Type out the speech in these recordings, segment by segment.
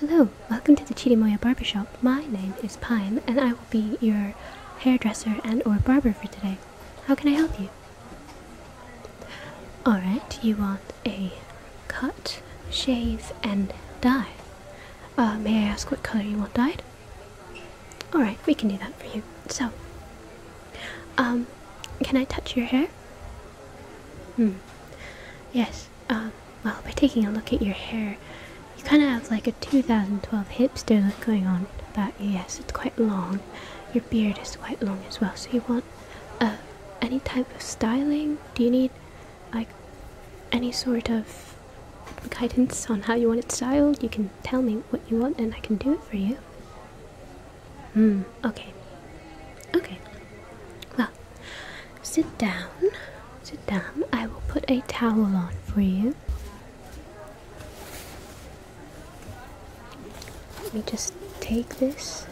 Hello, welcome to the Barber Shop. My name is Pine and I will be your hairdresser and or barber for today. How can I help you? Alright, you want a cut, shave and dye. Uh, may I ask what color you want dyed? All right, we can do that for you. So, um, can I touch your hair? Hmm. Yes. Um. Well, by taking a look at your hair, you kind of have like a 2012 hipster look going on But Yes, it's quite long. Your beard is quite long as well. So you want uh any type of styling? Do you need like any sort of guidance on how you want it styled? You can tell me what you want and I can do it for you. Hmm, okay. Okay. Well, sit down. Sit down. I will put a towel on for you. Let me just take this.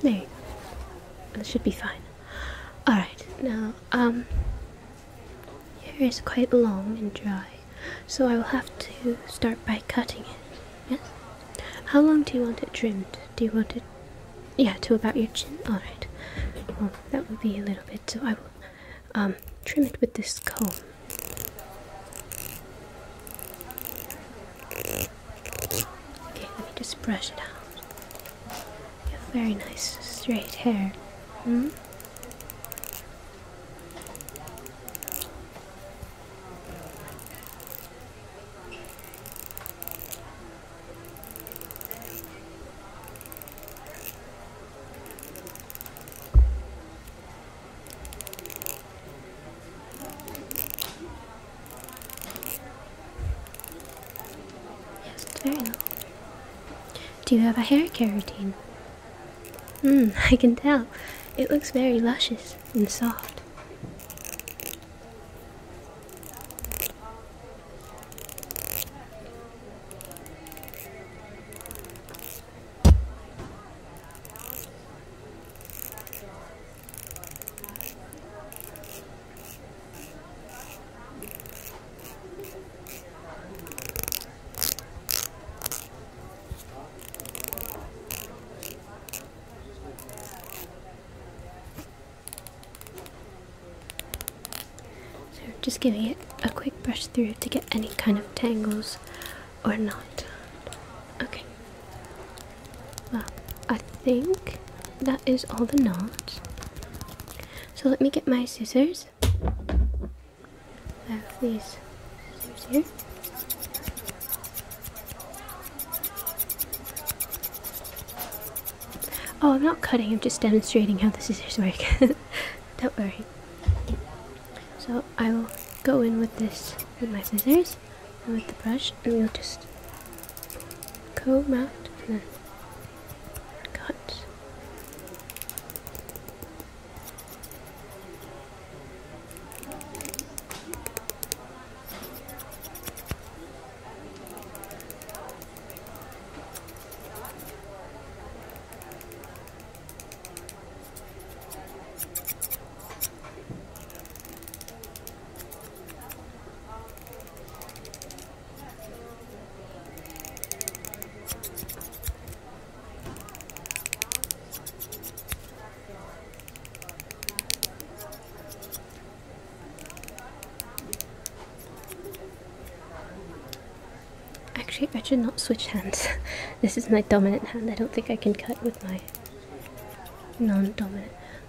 There you That should be fine. Alright, now, um, hair is quite long and dry, so I will have to start by cutting it. Yes? How long do you want it trimmed? Do you want it, yeah, to about your chin? Alright, well, that would be a little bit, so I will, um, trim it with this comb. Okay, let me just brush it out. You have very nice straight hair. Hmm? Yes, very Do you have a hair care routine? Mmm, I can tell. It looks very luscious and soft. So just giving it a quick brush through to get any kind of tangles or not. Okay. Well, I think that is all the knots. So let me get my scissors. I have Oh, I'm not cutting, I'm just demonstrating how the scissors work. Don't worry. So I will go in with this with my scissors and with the brush and we'll just Go mountainous. Cut. Actually, I should not switch hands. this is my dominant hand. I don't think I can cut with my non dominant hand.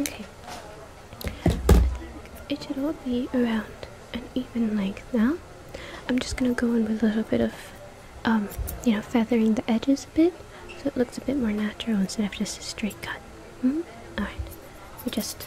Okay, I think it should all be around and even like that i'm just gonna go in with a little bit of um you know feathering the edges a bit so it looks a bit more natural instead of just a straight cut hmm? all right we just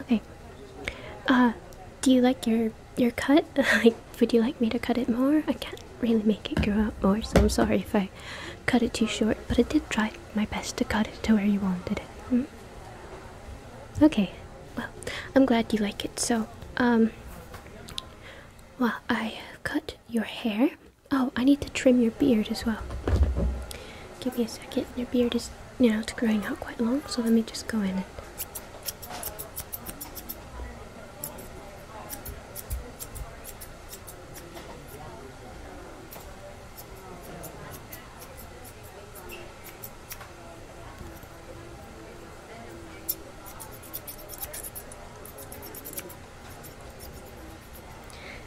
Okay. Uh, do you like your your cut? like, would you like me to cut it more? I can't really make it grow out more, so I'm sorry if I cut it too short. But I did try my best to cut it to where you wanted it. Hmm? Okay. Well, I'm glad you like it. So, um, well, I cut your hair. Oh, I need to trim your beard as well. Give me a second. Your beard is, you growing out quite long, so let me just go in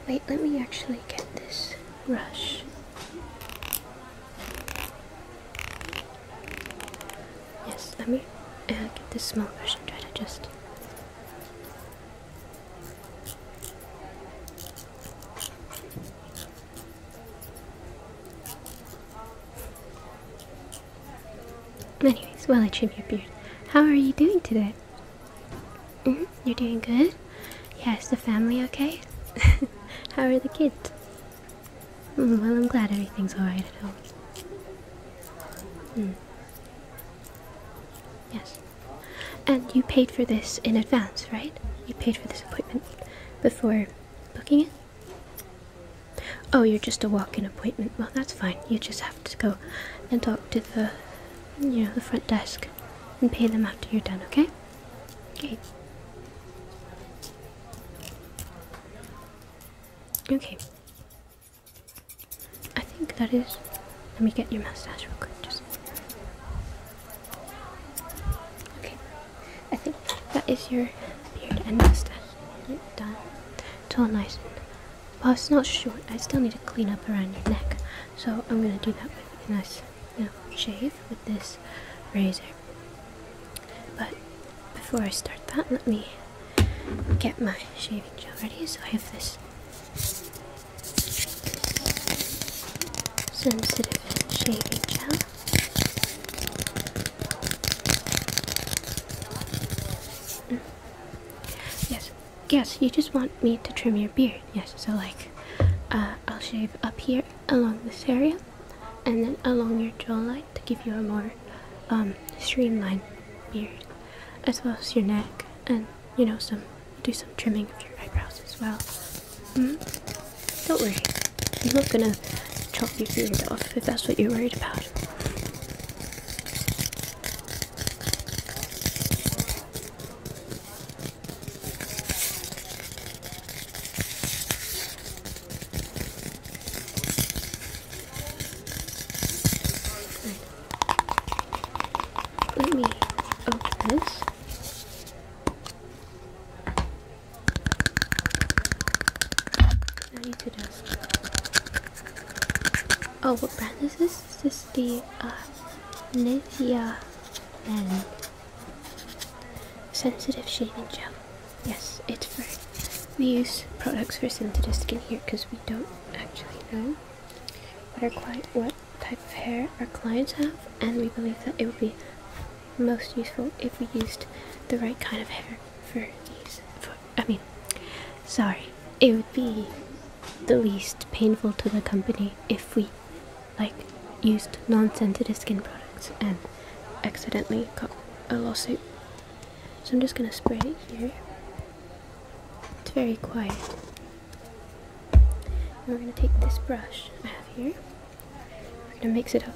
Wait, let me actually get this brush. Yes, let me uh, get this small brush and try to just. Anyways, well I should your beard. How are you doing today? You're doing good? Yes, the family okay? How are the kids? Hmm, well, I'm glad everything's alright at home. Hmm. Yes. And you paid for this in advance, right? You paid for this appointment before booking it? Oh, you're just a walk in appointment. Well, that's fine. You just have to go and talk to the you know, the front desk and pay them after you're done, okay? Okay. Okay. I think that is. Let me get your mustache real quick. Just. Okay. I think that is your beard and mustache. Done. It's all nice well, it's not short. I still need to clean up around your neck. So I'm going to do that with a nice you shave with this razor. But before I start that, let me get my shaving gel ready. So I have this sensitive shaving gel. Mm. Yes, Yes, you just want me to trim your beard. Yes, so like uh, I'll shave up here along this area and then along your jawline to give you a more um, streamlined beard as well as your neck and you know some do some trimming of your eyebrows as well. Mm-hmm. Don't worry, I'm not gonna chop your beard off if that's what you're worried about. Let me open this. Oh, what brand is this? Is the, uh, Nivea and Sensitive Shaving Gel. Yes, it's for. We use products for sensitive skin here because we don't actually know what, our client, what type of hair our clients have, and we believe that it would be most useful if we used the right kind of hair for these. For, I mean, sorry, it would be the least painful to the company if we, like, used non-sensitive skin products and accidentally got a lawsuit. So I'm just gonna spray it here. It's very quiet. we're gonna take this brush I have here. We're gonna mix it up.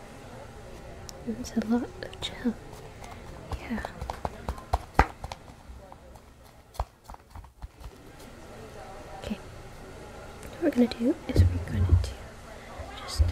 It's a lot of gel. Yeah. Okay. What we're gonna do is we're gonna do just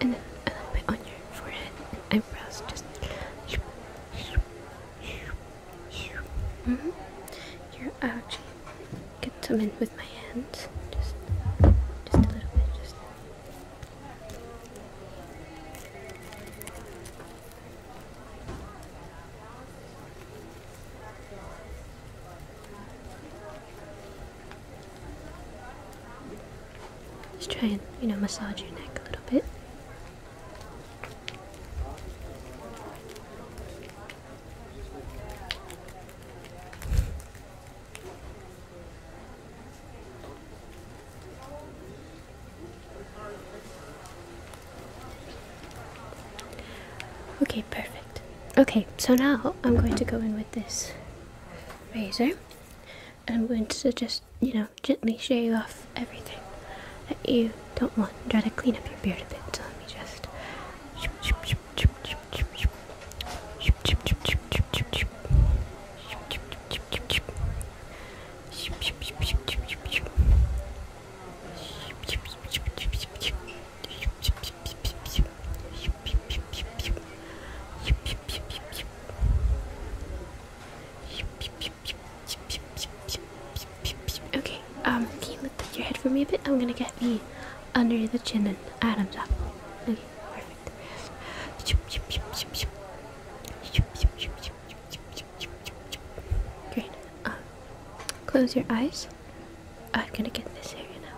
and then a little bit on your forehead and eyebrows, just. Mm -hmm. You're ouch. Get some in with my hands. Just just a little bit, Just try and, you know, massage your neck a little bit. Okay, perfect. Okay, so now I'm going to go in with this razor and I'm going to just, you know, gently shave off everything that you don't want. Try to clean up your beard a bit, so let me just. Okay, um, can you lift up your head for me a bit? I'm gonna get the under the chin and Adam's apple. Okay, perfect. Great. close your eyes. I'm gonna get this area now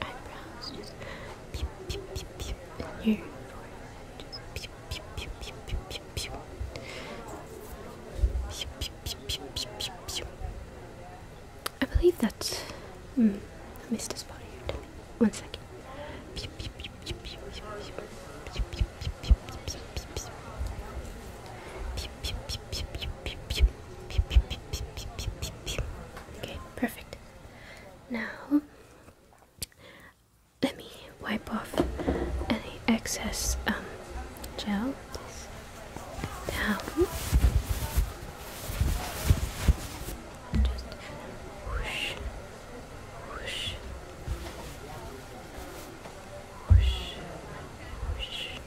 eyebrows, just pew, pew, pew, pew, and your forehead, just pew, pew, pew, pew, pew, pew, pew, pew, pew, pew, pew, pew, pew. I believe that. Mm, I missed a spot here. One second. Pew, pew, pew, pew, pew, pew, pew. Pew, pew, pew, pew, pew, pew, pew. Pew, pew, pew, pew, pew, pew, pew. Okay, perfect. Now, let me wipe off any excess um, gel. This down. just whoosh, whoosh, whoosh, whoosh.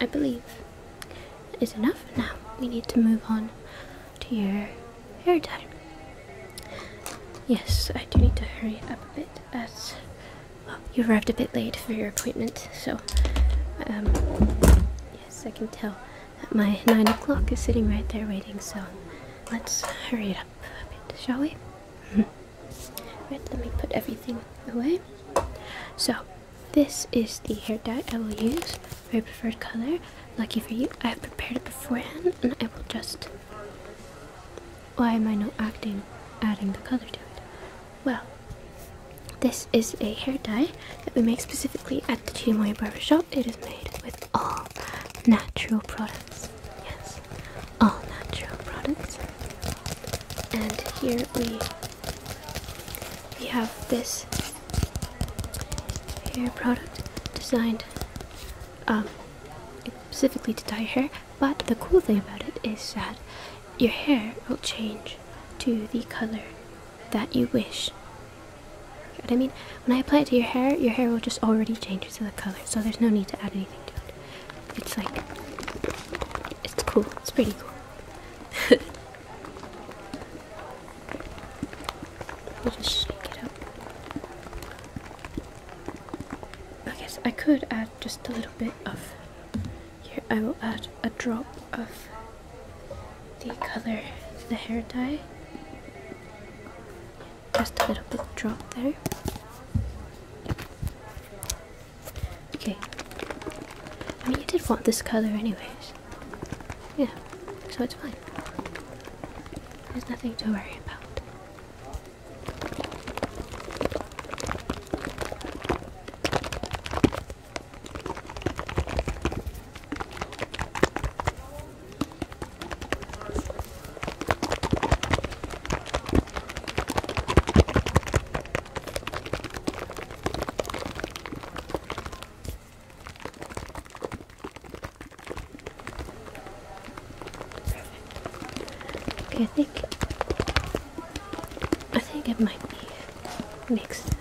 I believe, is enough. Now we need to move on to your hair time. Yes, I do need to hurry up a bit as you arrived a bit late for your appointment, so um, yes, I can tell that my 9 o'clock is sitting right there waiting, so let's hurry it up a bit, shall we? right, let me put everything away. So, this is the hair dye I will use, My preferred color. Lucky for you, I have prepared it beforehand and I will just... Why am I not acting, adding the color to it? Well, this is a hair dye that we make specifically at the Chirimoya Barber Shop. It is made with all natural products. Yes, all natural products. And here we we have this hair product designed um, specifically to dye hair, but the cool thing about it is that your hair will change to the color that you wish. You know what I mean? When I apply it to your hair, your hair will just already change to the color, so there's no need to add anything to it. It's like, it's cool, it's pretty cool. I guess I could add just a little bit of. Here, I will add a drop of the color the hair dye. Just a little bit drop there. Okay. I mean, you did want this color, anyways. Yeah, so it's fine. There's nothing to worry about. Okay, I think I think it might be mixed up.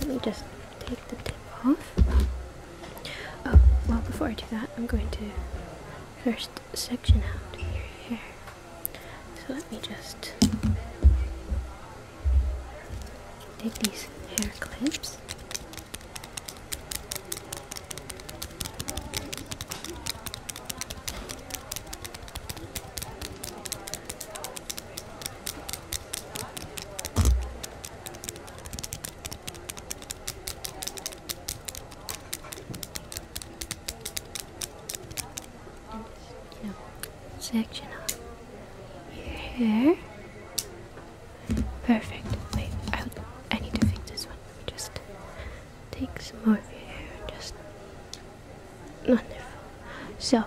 Let me just take the tip off. Oh well, before I do that, I'm going to first section out here, here. So let me just take these hair clips section of your hair. Perfect. Wait, I, need to fix this one. Just take some more of your hair. Just wonderful. So,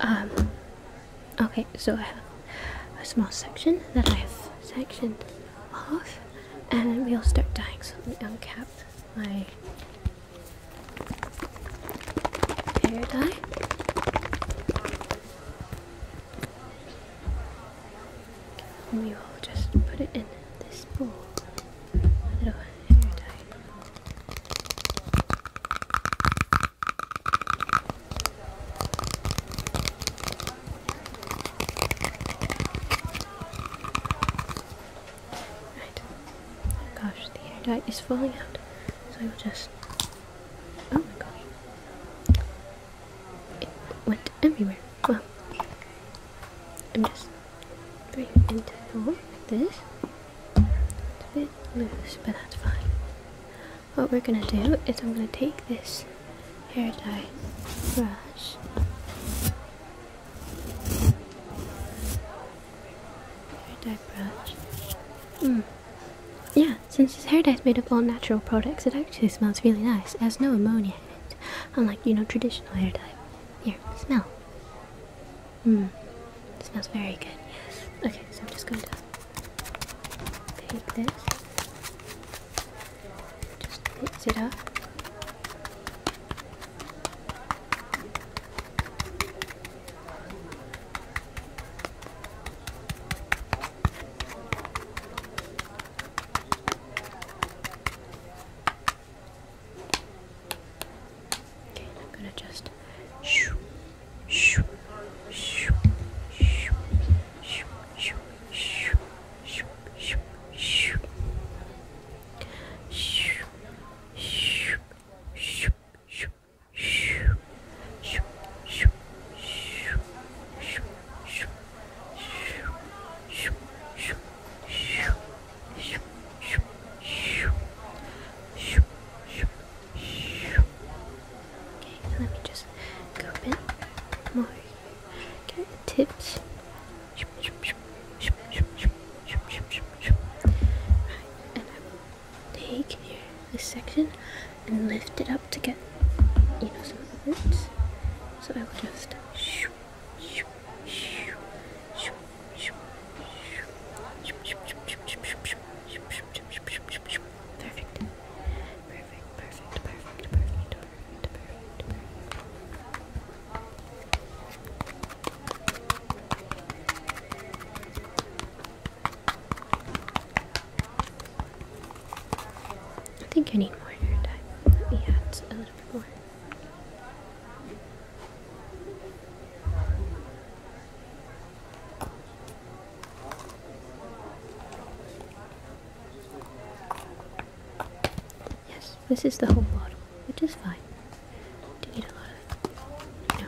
um, okay. So I have a small section that I have sectioned off, and we'll start dyeing. So uncapped my hair dye. we will just put it in this bowl. little hair dye. Right. Oh gosh, the hair dye is falling out. So I will just. Oh my god! It went everywhere. Well, I'm just bringing it into the hole like this. It's a bit loose, but that's fine. What we're gonna do is I'm gonna take this hair dye brush Hair dye brush. Mm. Yeah, since this hair dye is made of all natural products, it actually smells really nice. It has no ammonia in it, unlike, you know, traditional hair dye. Here, smell. Mmm, smells very good, yes. Okay, so I'm just going to take this, just put it up. Okay, I'm gonna just shoo, shoo, shoo, shoo, shoo, shoo, shoo, shoo, shoo, shoo, shoo. Shoo, shoo, shoo, shoo, shoo. Shoo, shoo, shoo, shoo, shoo. Shoo, shoo, shoo, shoo, shoo, shoo. Shoo, shoo, shoo. Okay, let me just go a bit more. Get the tips. Right, and I will take here this section and lift it up to get you know some of the roots. So I will just shoo, shoo, shoo, shoo, shoo, Perfect. Perfect, perfect, perfect, perfect. I think I need more hair dye. Let a little bit more. Yes, this is the whole bottle, which is fine. To eat a lot of it.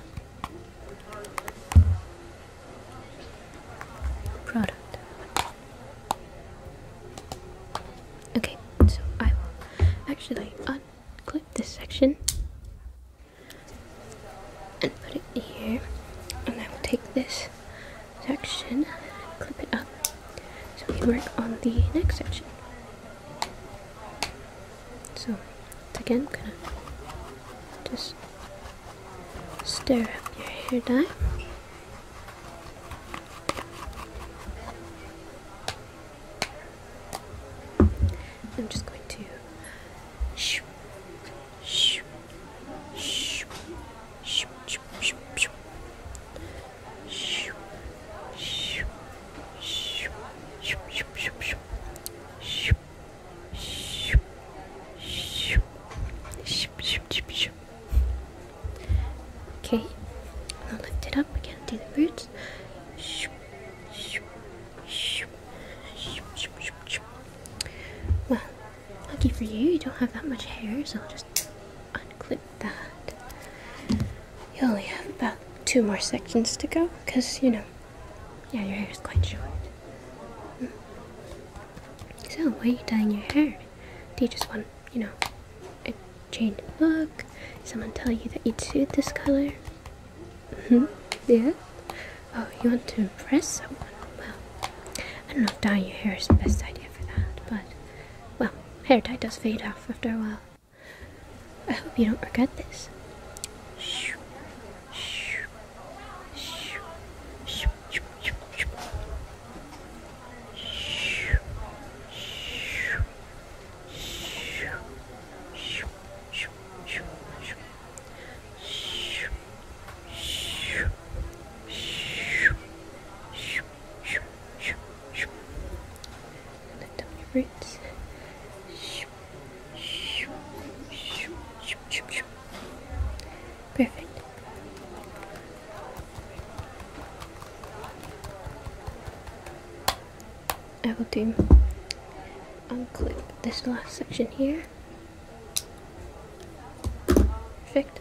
Product. Okay, so I will actually unclip this section and put it here, and I will take this section, clip it up so we work on the next section. So, again, I'm gonna just stir up your hair dye. I'm just going to shoo, shoo, shoo, shoo, shoo, shoo, shoo. Okay, now lift it up We again do the roots. Well, lucky for you, you don't have that much hair, so I'll just unclip that. You only have about two more sections to go, because, you know, yeah, your hair is quite short. Hmm. So, why are you dyeing your hair? Do you just want, you know, a changed look? Someone tell you that you'd suit this color? hmm? Yeah? Oh, you want to impress someone? Well, I don't know if dyeing your hair is the best idea for that, but well, hair dye does fade off after a while. I hope you don't regret this. Perfect. I will do unclip this last section here. Perfect.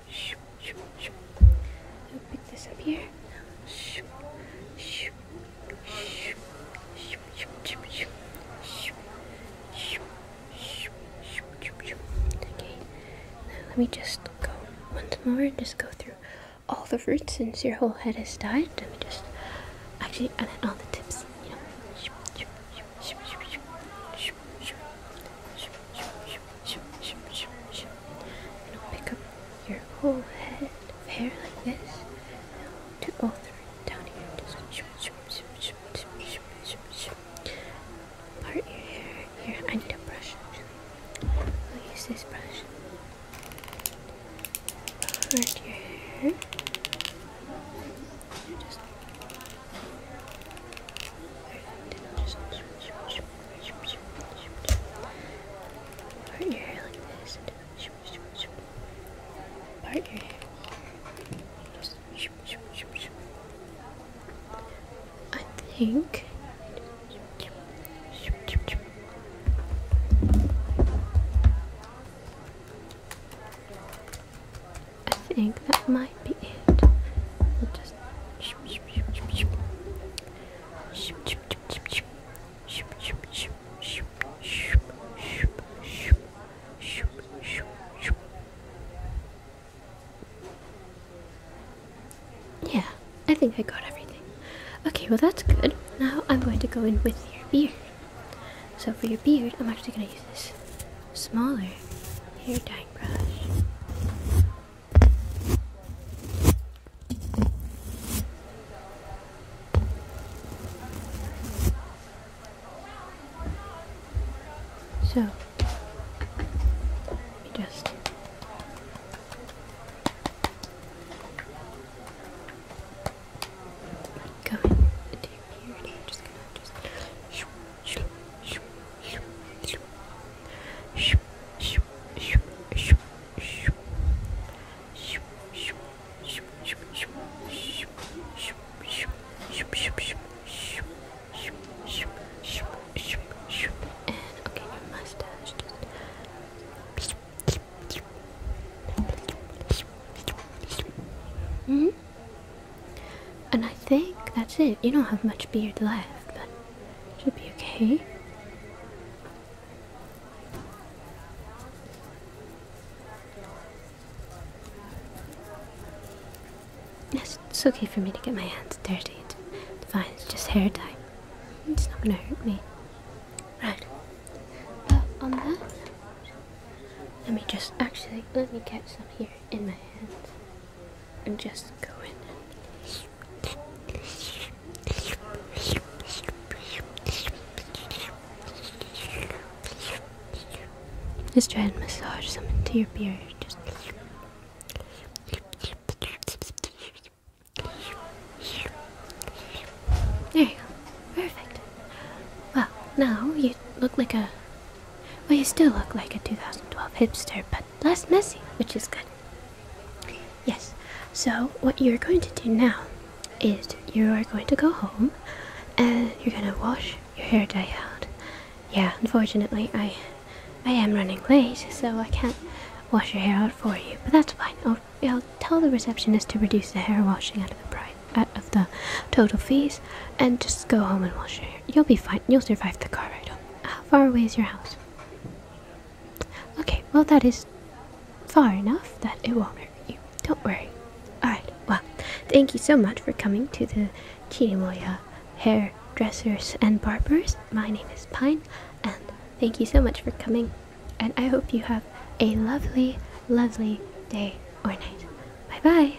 I'll pick this up here. Okay, now let me just go once more just go through all the roots since your whole head has died. Let me just actually, and then all the tips, you know. And I'll pick up your whole head hair like this. And three down here. Part your hair here. I need a brush I'll use this brush. Part your hair. Just Part your hair like this Part your hair. I think. I think that might be it. just yeah, I think I got everything. Okay, well that's good. Now I'm going to go in with your beard. So for your beard, I'm actually going to use this smaller hair dye brush. So, just go into your beard. I'm just gonna just. And okay, your mustache. Mm -hmm. And I think that's it. You don't have much beard left, but should be okay. Yes, it's okay for me to get my hands dirty. It's fine, it's just hair dye. It's not gonna hurt me. Right. But on that let me just actually let me get some here in my hands and just go in just try and massage some into your beard. Just there you go. Perfect. Well, now you look like a. Well, you still look like a 2012 hipster, but less messy, which is good. Yes, so what you're going to do now is you are going to go home and you're going to wash your hair dye out. Yeah, unfortunately, I, I am running late, so I can't wash your hair out for you, but that's fine. I'll, I'll tell the receptionist to reduce the hair washing out of the price out of the total fees and just go home and wash your hair. You'll be fine. You'll survive the car ride home. How far away is your house? Okay, well, that is far enough that it won't hurt you. Don't worry. Alright, well, thank you so much for coming to the Chirimoya Hairdressers and Barbers. My name is Pine, and thank you so much for coming. And I hope you have a lovely, lovely day or night. Bye bye.